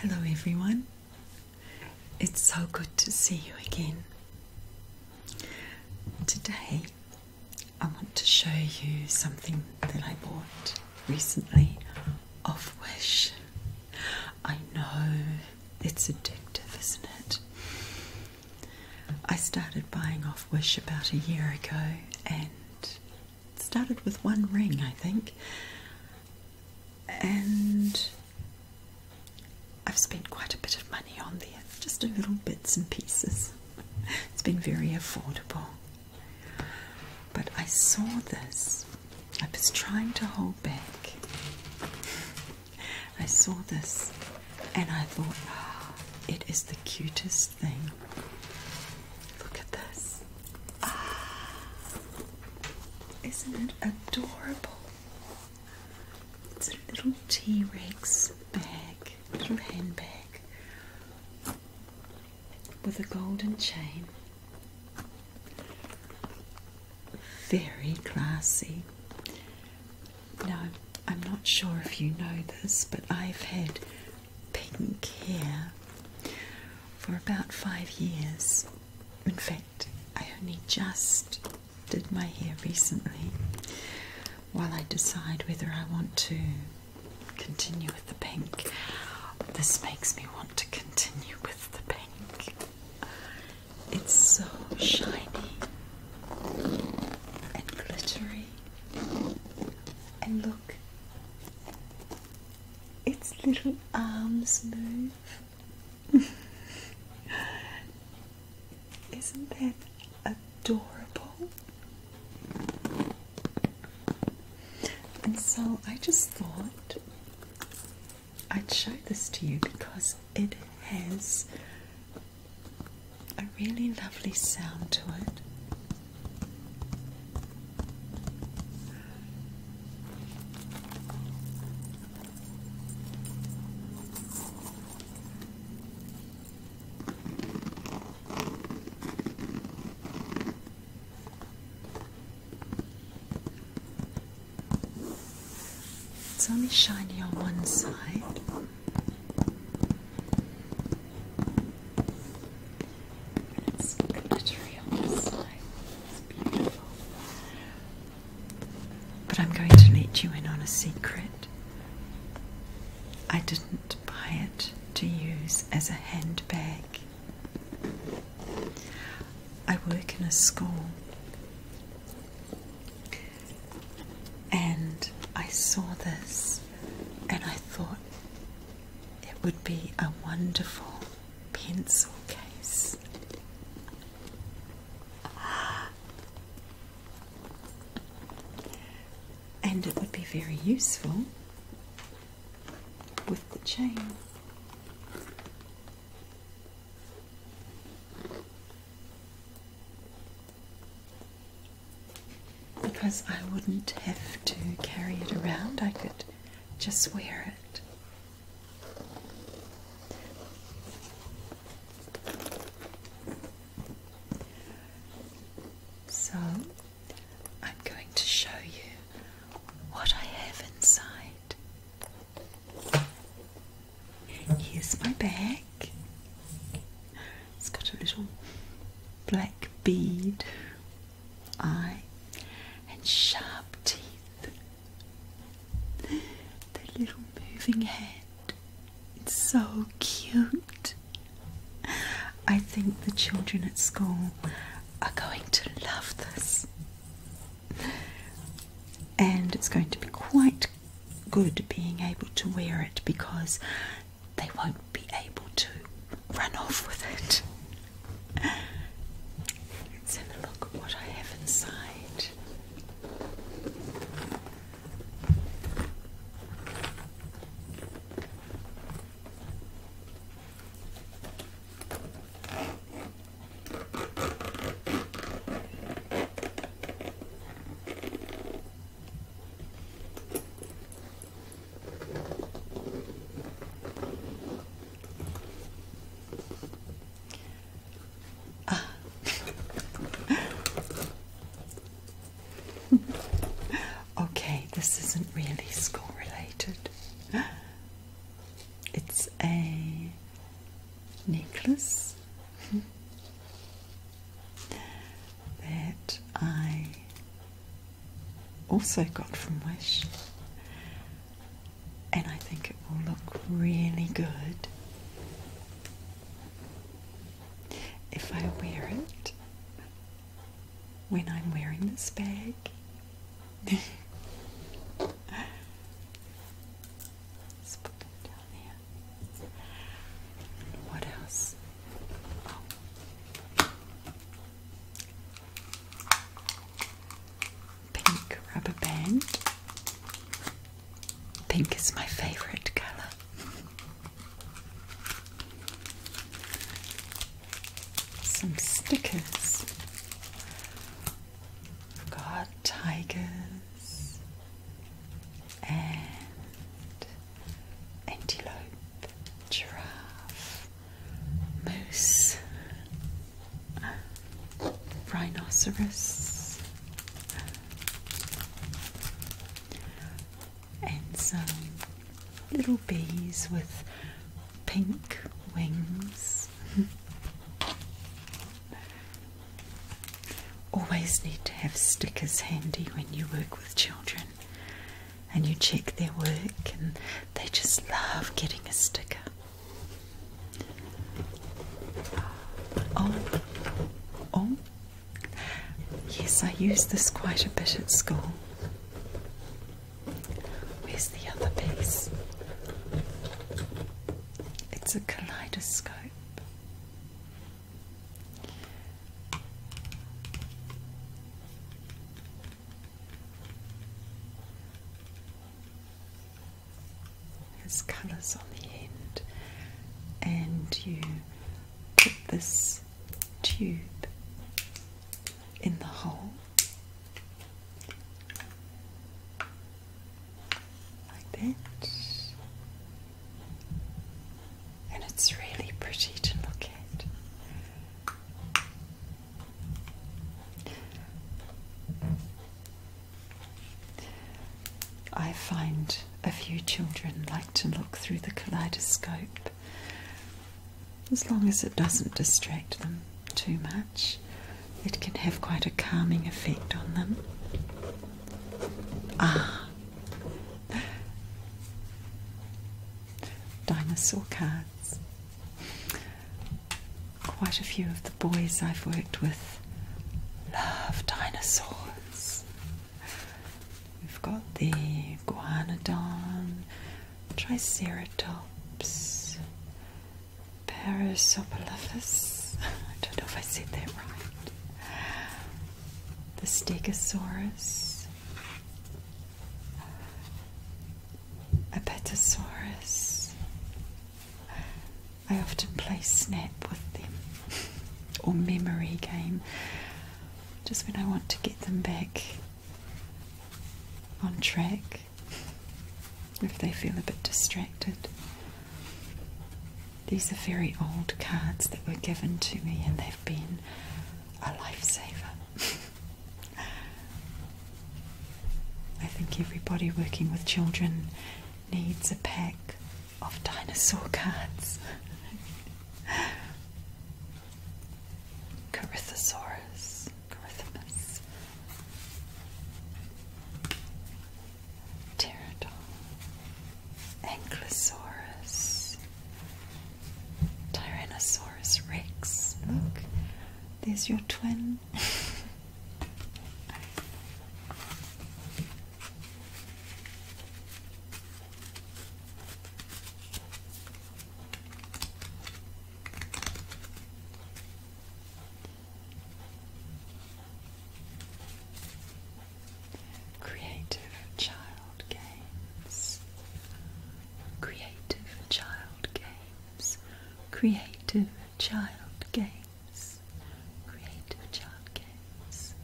Hello, everyone. It's so good to see you again. Today, I want to show you something that I bought recently off Wish. I know it's addictive, isn't it? I started buying off Wish about a year ago and it started with one ring, I think. And I've spent quite a bit of money on there, just a little bits and pieces. It's been very affordable. But I saw this. I was trying to hold back. I saw this and I thought, oh, it is the cutest Look at this. Ah, isn't it adorable? It's a little T Rex bag, little handbag with a golden chain. Very classy. Now, I'm not sure if you know this, but I've had taken care for about five years. In fact, I only just did my hair recently while I decide whether I want to continue with the pink. This makes me want to continue with the pink. It's so shiny and glittery. And look, its little arms move. Isn't that adorable? And so I just thought I'd show this to you because it has a really lovely sound to it. It's only shiny on one side. But I'm going to let you in on a secret. I didn't buy it to use as a handbag. I work in a school and I saw this and I thought it would be a wonderful pencil case. And it would be very useful with the chain because I wouldn't have to carry it around, I could just wear it. So, I'm going to show you what I have inside. Here's my bag. It's got a little black bead eye and sharp teeth. The little moving hand. It's so cute. I think the children at school are going to love this. And it's going to be quite good being able to wear it because they won't be able to run off with it. let look what I have inside. Ah. okay, this isn't really school related. It's a necklace that I also got from Wish, and I think it will look really good if I wear it when I'm wearing this bag. What else? Oh. Pink rubber band. Pink is my favorite color. Some stickers. We've got tigers and antelope, giraffe, moose, um, rhinoceros, and some little bees with pink wings. Always need to have stickers handy when you work with children and you check their work, and they just love getting a sticker. Oh, oh, yes, I use this quite a bit at school. Where's the other piece? It's a kaleidoscope. There's colours on the end, and you put this tube in the hole like that. And it's really pretty to look at. I find a few children like to look through the kaleidoscope as long as it doesn't distract them too much, it can have quite a calming effect on them. Ah, dinosaur cards. Quite a few of the boys I've worked with love dinosaurs. We've got the Guanodon, Triceratops, Parasopolyphus, I don't know if I said that right, the Stegosaurus, Apatosaurus. I often play Snap with them or Memory Game just when I want to get them back on track if they feel a bit distracted. These are very old cards that were given to me, and they've been a lifesaver. I think everybody working with children needs a pack of dinosaur cards. Corythosaurus. Corythomus. Pterodon. Ankylosaurus. Tyrannosaurus rex. Look, there's your twin. Creative Child Games. Creative Child Games. Creative Child Games. Creative Child Games.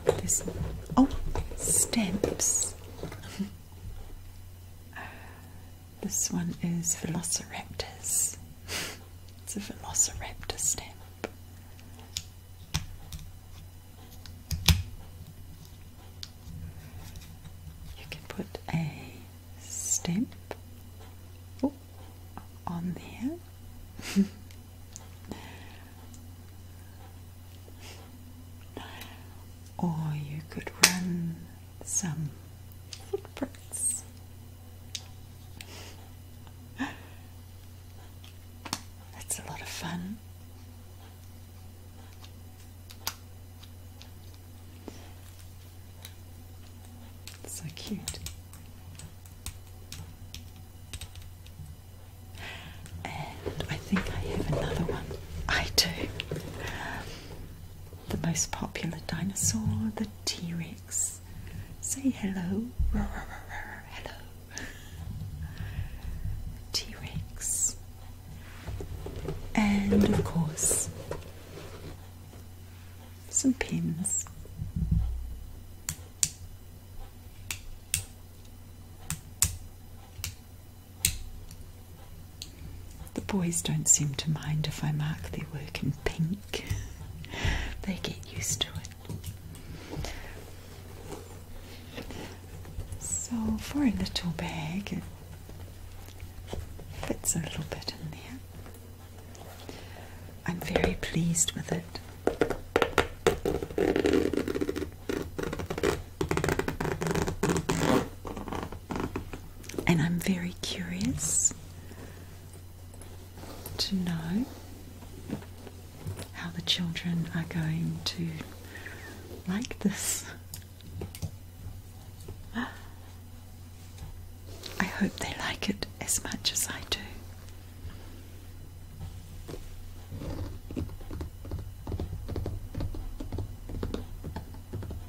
And this oh stamps. Uh, this one is Velociraptors. it's a Velociraptor stamp. You can put a stamp on there. or you could run some footprints that's a lot of fun. So cute. And I think I have another one. I do. The most popular dinosaur, the T Rex. Say hello. Hello. T Rex. And of course, some pins. The boys don't seem to mind if I mark their work in pink they get used to it. So, for a little bag, it fits a little bit in there. I'm very pleased with it and I'm very curious to know how the children are going to like this. I hope they like it as much as I do.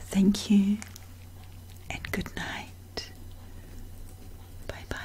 Thank you and good night. Bye bye.